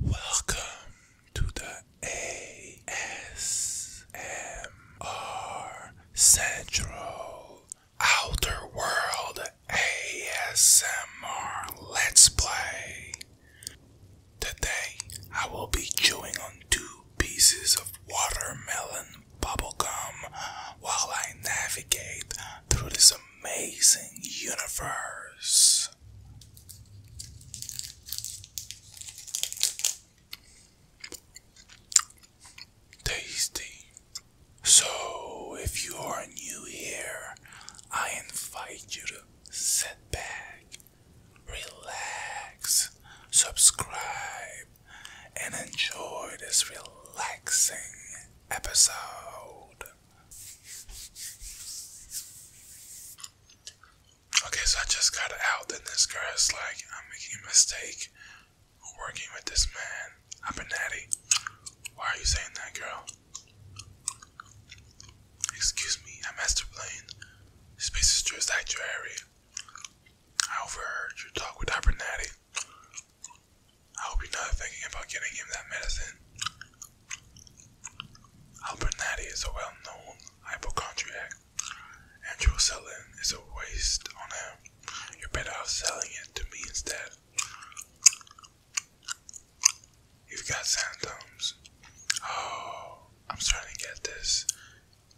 Welcome to the ASMR Central Outer World ASMR Let's Play. Today I will be chewing on two pieces of watermelon Bubble gum, while I navigate through this amazing universe. Tasty. So, if you are new here, I invite you to sit back, relax, subscribe, and enjoy this relaxing episode. Okay, so I just got out, and this girl is like, I'm making a mistake working with this man. I've been natty. Why are you saying that, girl? Excuse me, I'm Master Blaine. This place is just your sanctuary. I overheard your talk with Abernathy. I hope you're not thinking about getting him that medicine. Albernati is a well known hypochondriac, and Drosellin is a waste on him. You're better off selling it to me instead. You've got symptoms. Oh, I'm starting to get this.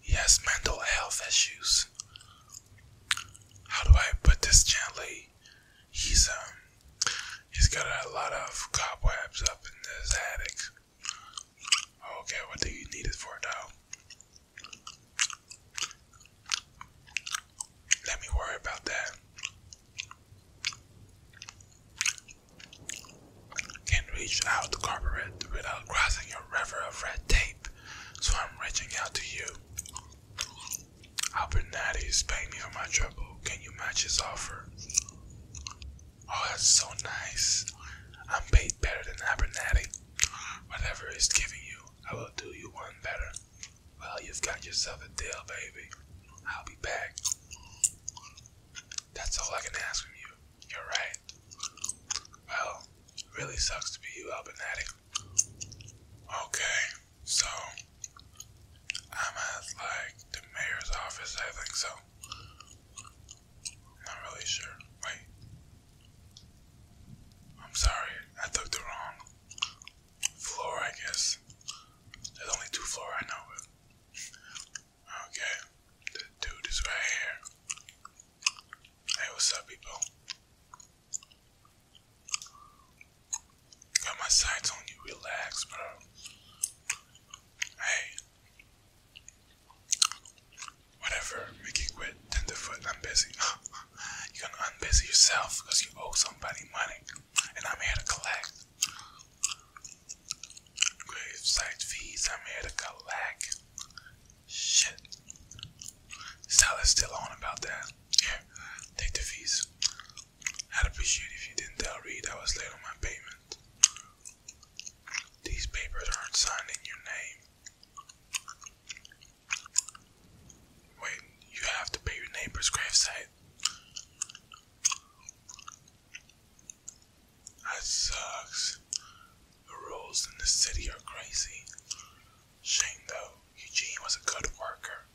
He has mental health issues how do I put this gently? He's um he's got a lot of cobwebs up in this attic. Okay, what do you need it for now? Let me worry about that. Can reach out the carpet without crossing a river of red tape, so I'm reaching out to you. Abernathy is paying me for my trouble. Can you match his offer? Oh, that's so nice. I'm paid better than Abernathy. Whatever he's giving you, I will do you one better. Well, you've got yourself a deal, baby. I'll be back. That's all I can ask of you. You're right. Well, it really sucks to be you, Abernathy. Okay, so I'm at like the mayor's office, I think so. Not really sure. Wait. I'm sorry, I took the wrong floor, I guess. There's only two floors right now. But Okay, the dude is right here. Hey, what's up, people? Got my sights on you. Relax, bro. Hey. Whatever. Make quit. Tenderfoot. I'm busy. You're gonna unbusy yourself because you owe somebody money. And I'm here to collect. grave site fees. I'm here to collect. Shit. Salah's still on about that. Here, take the fees. I'd appreciate if you didn't tell Reed I was late on my payment. These papers aren't signed in your name. Wait, you have to pay your neighbor's gravesite. That sucks. The rules in this city are crazy. Shame though, Eugene was a good worker.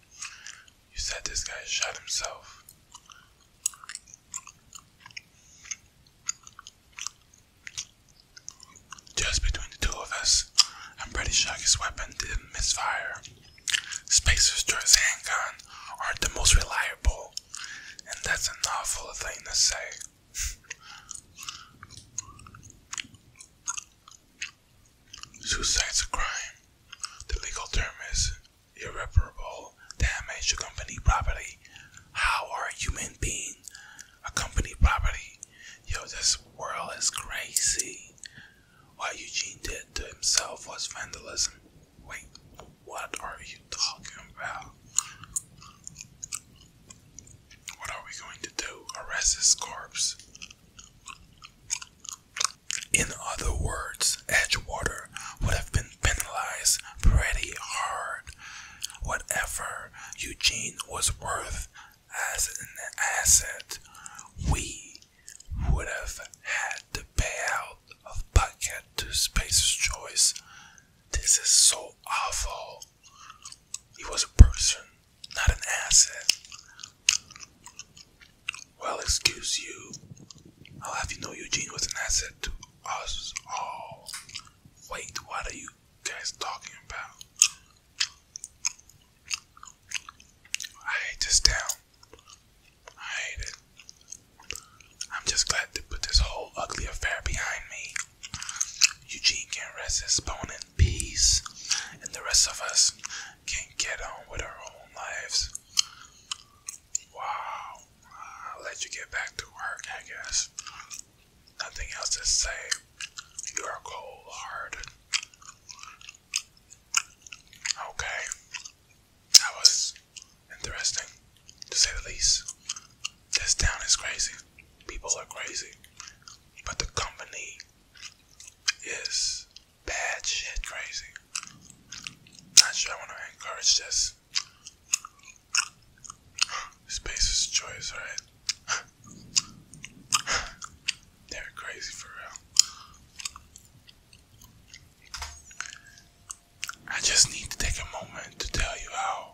You said this guy shot himself. Just between the two of us, I'm pretty sure his weapon didn't misfire. Space Destroyer's handgun aren't the most reliable, and that's an awful thing to say. Suicide's a crime. The legal term is irreparable damage to company property. How are human beings a company property? Yo, this world is crazy. What Eugene did to himself was vandalism. Wait, what are you talking about? What are we going to do? Arrest his corpse. In other words, Edgewater would have been penalized pretty hard. Whatever Eugene was worth as an asset, we would have had to pay out of pocket to Space's Choice. This is so awful. He was a person, not an asset. Well, excuse you. I'll have you know Eugene was an asset to us all. Wait, what are you guys talking about? I hate this town. I hate it. I'm just glad to put this whole ugly affair behind me. Eugene can rest his bone in peace, and the rest of us can get on with our own lives. Wow, I'll let you get back to work, I guess. Nothing else to say. You are cold hearted. Okay, that was interesting, to say the least. This town is crazy. People are crazy but the company is bad shit crazy. Not sure I want to encourage this. Space is choice, right? They're crazy for real. I just need to take a moment to tell you how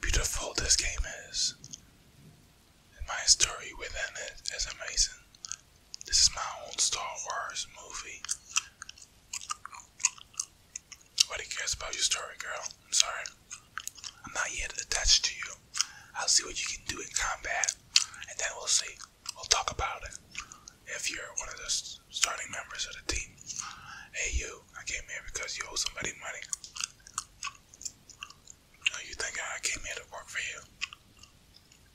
beautiful this game is and my story within it is amazing. This is my own Star Wars movie. Nobody cares about your story, girl. I'm sorry. I'm not yet attached to you. I'll see what you can do in combat, and then we'll see. We'll talk about it. If you're one of the starting members of the team. Hey, you, I came here because you owe somebody money. You think I came here to work for you?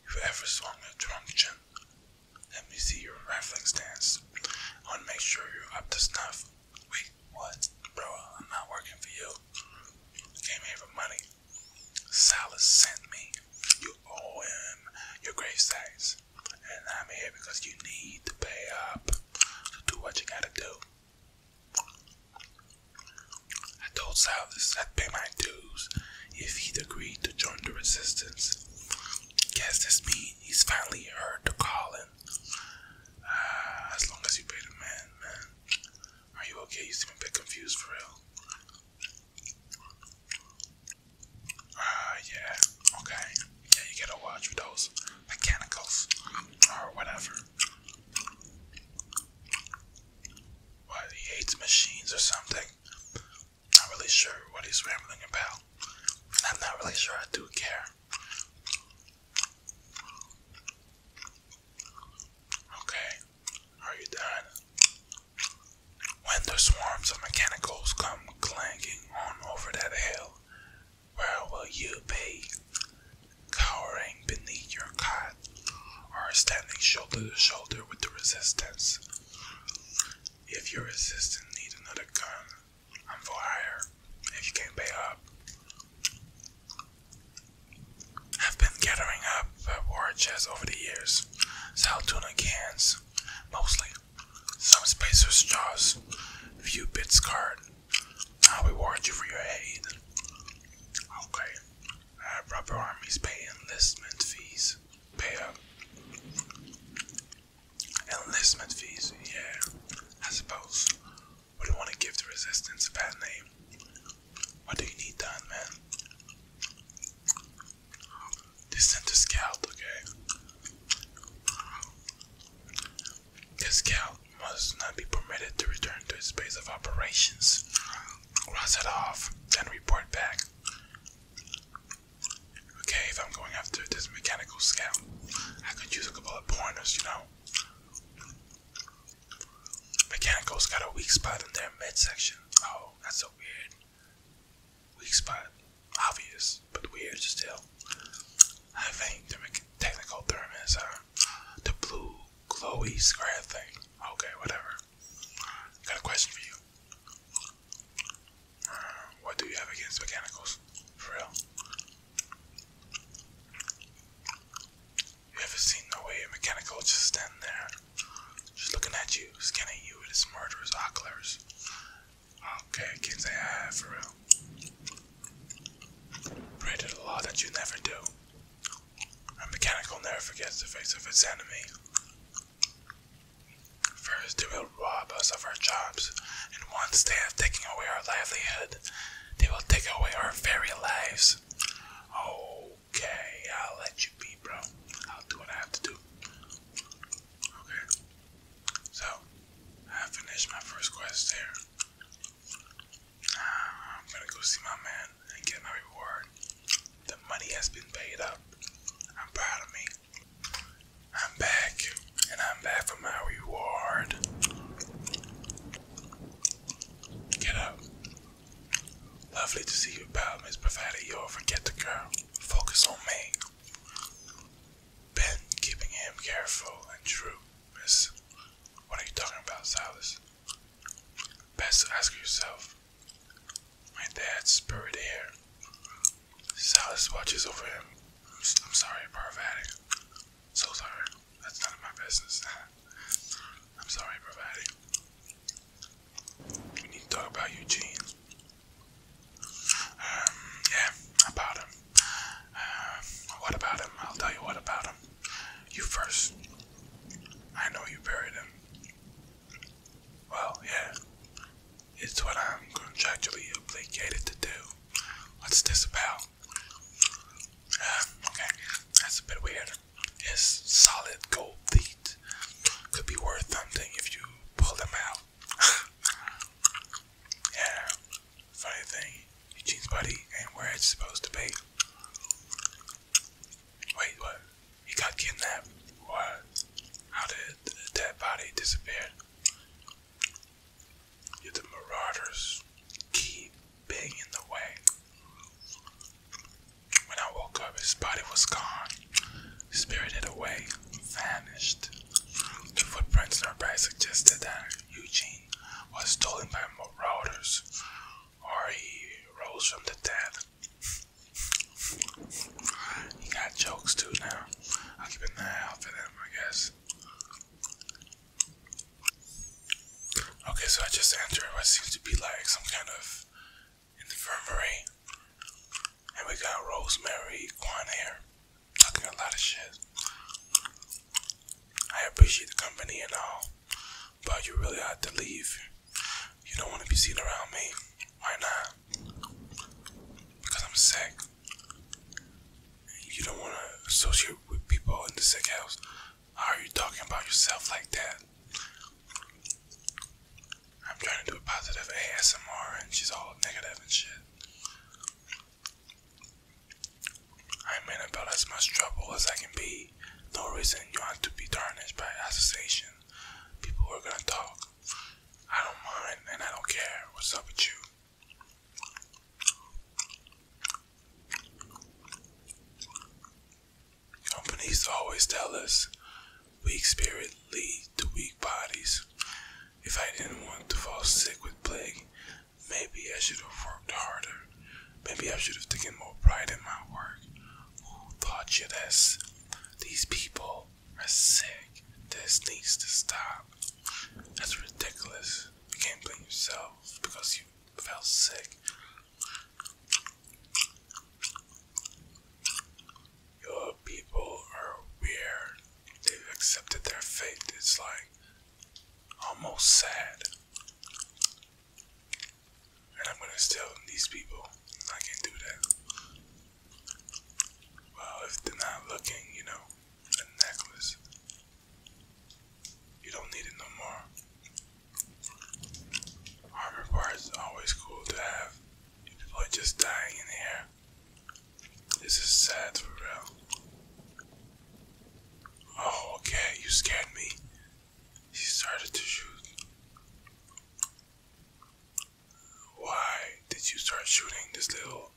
If you ever swung a drunk chin, let me see your reflex stance. I want to make sure you're up to snuff. Wait, what? Bro, I'm not working for you. I came here for money. Salas sent me. You owe him your grave size, And I'm here because you need to pay up. So do what you gotta do. I told Silas I'd pay my dues if he'd agreed to join the resistance. Guess this means he's finally heard the calling. Ah, as long as you pay the man, man. Are you okay? You seem a bit confused for real. Ah, yeah, okay. Yeah, you gotta watch those mechanicals or whatever. Why he hates machines or something. Not really sure what he's rambling about. I'm not really sure I do care. Okay, are you done? When the swarms of mechanicals come clanking on over that hill, where will you be? Cowering beneath your cot, or standing shoulder to shoulder with the resistance? If your resistance needs another gun, I'm for hire. If you can't pay up, I've been gathering up war chests over the years. Sell tuna cans, mostly. Some spacers' jaws, few bits card, I'll reward you for your aid. Okay. proper uh, armies pay enlistment fees. Pay up. Enlistment fees, yeah. I suppose. Would you want to give the resistance a bad name? What do you need done, man? They sent a scout, okay? This scout must not be permitted to return to its base of operations. Cross it off, then report back. Okay, if I'm going after this mechanical scout, I could use a couple of pointers, you know. Mechanical's got a weak spot in their midsection. Oh, that's a weird weak spot. Obvious, but weird still. I think the technical thermists are uh, the blue glowy square thing. Okay, whatever. Got a question for you. Uh, what do you have against mechanicals? For real? You ever seen the way a mechanical just stand there, just looking at you, scanning you with his murderous oculars? Okay, kids, I have for real. Pray the law that you never do. A mechanical never forgets the face of its enemy. First, they will rob us of our jobs, and once they have taken away our livelihood, they will take away our very lives. Okay, I'll let you be, bro. I'll do what I have to do. Okay. So, I finished my first quest there. I'm gonna go see my man and get my reward. The money has been paid up. I'm proud of me. I'm back, and I'm back for my reward. Get up. Lovely to see you, pal, Miss Bravada. You'll forget the girl. Focus on me. Ben, keeping him careful and true, Miss, what are you talking about, Silas? Best ask yourself. My dad's spirit here. Silas watches over him. I'm, I'm sorry, Parvati. So sorry. That's none of my business. I'm sorry, Parvati. We need to talk about Eugene. Um, yeah, about him. what about him? I'll tell you what about him. You first. I know you buried him. Well, yeah. It's what I'm contractually obligated to do. What's this about? Um, okay, that's a bit weird. It's solid gold teeth. Could be worth something if you pull them out. yeah, Funny thing, Eugene's body ain't where it's supposed to be. Wait, what? He got kidnapped? What? How did the body disappear? the marauders keep being in the way? When I woke up, his body was gone, spirited away, vanished. The footprints in her suggested that Eugene was stolen by marauders, or he rose from the dead. he got jokes too now. i keep an eye out for them, I guess. Okay, so I just entered what seems to be like some kind of infirmary. And we got Rosemary Guan here. I a lot of shit. I appreciate the company and all, but you really have to leave. You don't want to be seen around me. Why not? Because I'm sick. You don't want to associate with people in the sick house. How are you talking about yourself like that? I'm trying to do a positive ASMR and she's all negative and shit. I'm in about as much trouble as I can be. No reason you have to be tarnished by association. People are gonna talk. I don't mind and I don't care what's up with you. Companies always tell us weak spirit lead to weak bodies. If I didn't want to fall sick with plague, Maybe I should have worked harder. Maybe I should have taken more pride in my work. Who thought you this? These people are sick. This needs to stop. That's ridiculous. You can't blame yourself because you felt sick. Your people are weird. They've accepted their fate. It's like almost sad. And I'm gonna tell these people I can do that. Well, if they're not looking, you know, a necklace. You don't need it no more. Armor parts always cool to have. People are just dying in the this is sad for real. Oh, okay, you scared me. He started to shoot. Why did you start shooting this little?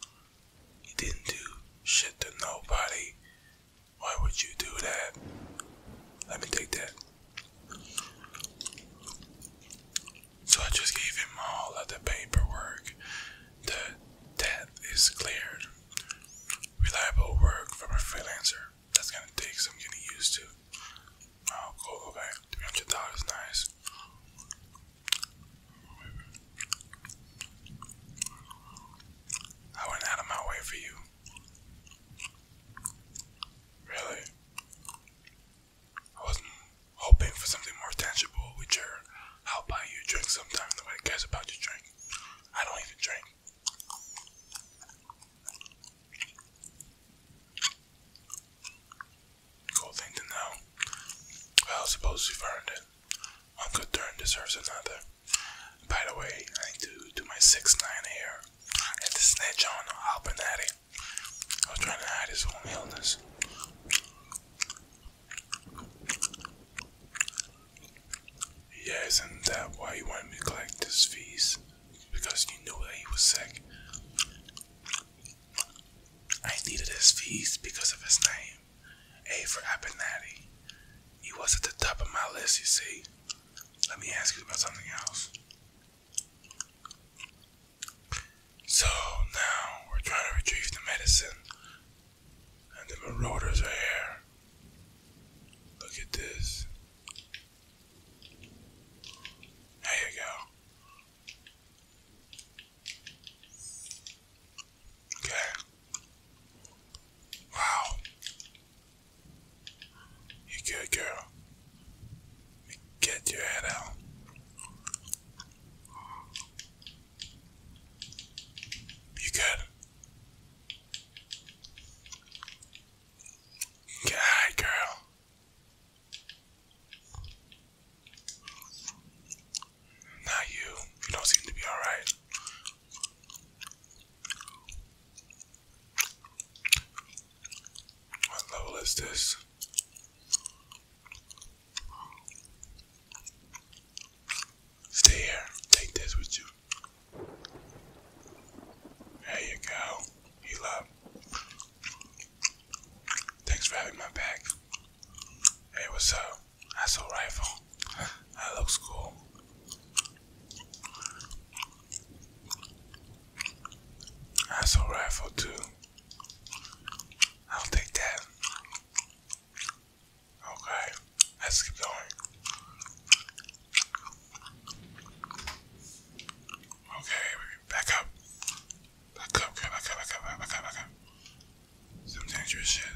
He didn't do shit to nobody. Why would you do that? Let me take that. So I just gave him all of the paperwork the debt is cleared. Reliable work from a freelancer. That's gonna take some getting used to. Oh, cool, okay. Three hundred dollars, nice. I went out of my way for you. Really? I wasn't hoping for something more tangible with your I'll buy you a drink sometime. The way it cares about your drink. I don't even drink. Cool thing to know. Well, suppose you've earned it. One good turn deserves another. By the way, I need to do my 6 9 here at the snitch on Albinati. I was trying to hide his own illness. Yes, and not that why you wanted me to collect his fees? Because you knew that he was sick. I needed his fees because of his name. A for Abenadi. He was at the top of my list, you see. Let me ask you about something else. So now we're trying to retrieve the medicine and the marauders are here. Look at this. There you go. Okay. Wow. You good girl. Get your head out. You good? Yeah, girl. Not you. You don't seem to be alright. What level is this? Stay here. Take this with you. There you go. Heal up. Thanks for having my back. Hey, what's up? I saw rifle. That looks cool. I saw rifle too. I'll take that. Okay, let's keep going. Okay, back up. Back up, back back up, back up, back up, back up. Some dangerous shit.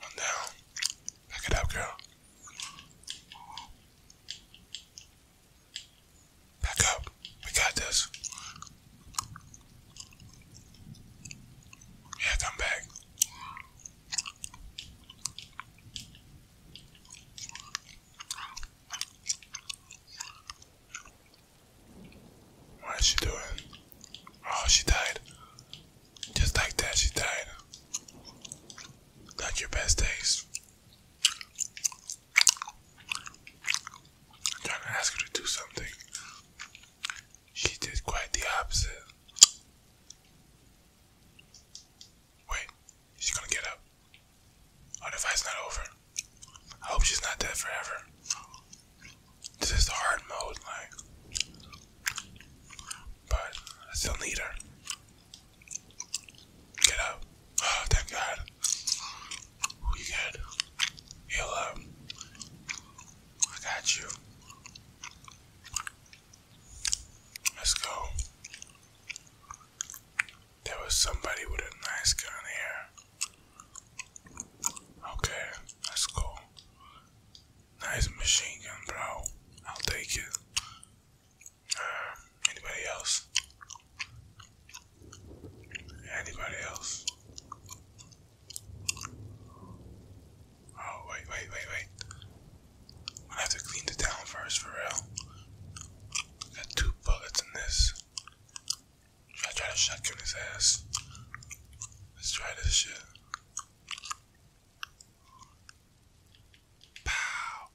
One down. Back it up, girl. Back up. We got this. Yeah, come back. What is she doing? Oh, she died. Just like that, she died. Not your best days. I'm trying to ask her to do something. She did quite the opposite. Wait, she's gonna get up. Our oh, fight's not over. I hope she's not dead forever. This is hard mode, like. But I still need her. Get up. Oh, thank God. We good. Heal up. I got you. Let's go. There was somebody with a nice gun here. Okay, let's go. Nice machine gun, bro. I'll take it anybody else? Anybody else? Oh, wait, wait, wait, wait. I have to clean the town first, for real. I Got two bullets in this. Should I try to shotgun his ass? Let's try this shit. Pow.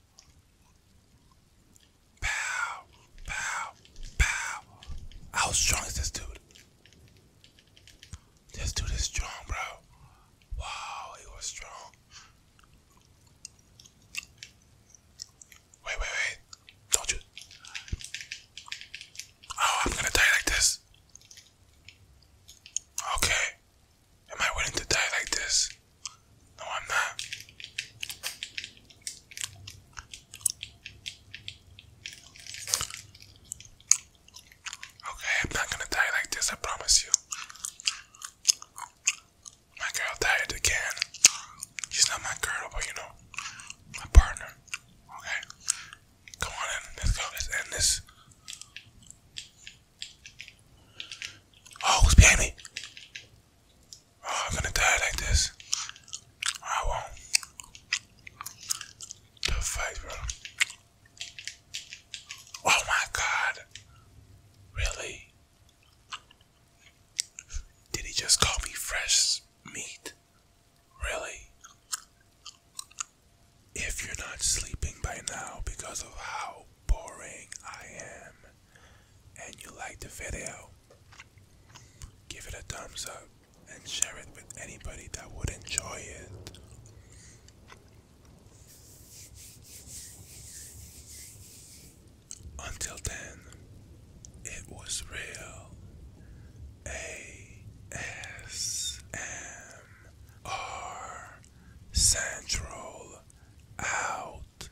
Pow. Pow. Pow. How strong is this dude? This dude is strong, bro. Wow, he was strong. Wait, wait, wait. Don't you. Oh, I'm gonna die like this. Okay. Am I willing to die like this? No, I'm not. Okay, I'm not gonna die like this, I promise you. My girl died again. She's not my girl, but you know, my partner. Okay? Come on in, let's go, let's end this. Oh, who's behind me? Oh, I'm gonna die like this. I won't. The fight, bro. Oh my god. Really? Did he just call me fresh meat? Really? If you're not sleeping by now because of how boring I am, and you like the video, give it a thumbs up and share it with anybody that would enjoy it. Until then, it was real. A S M R Central out.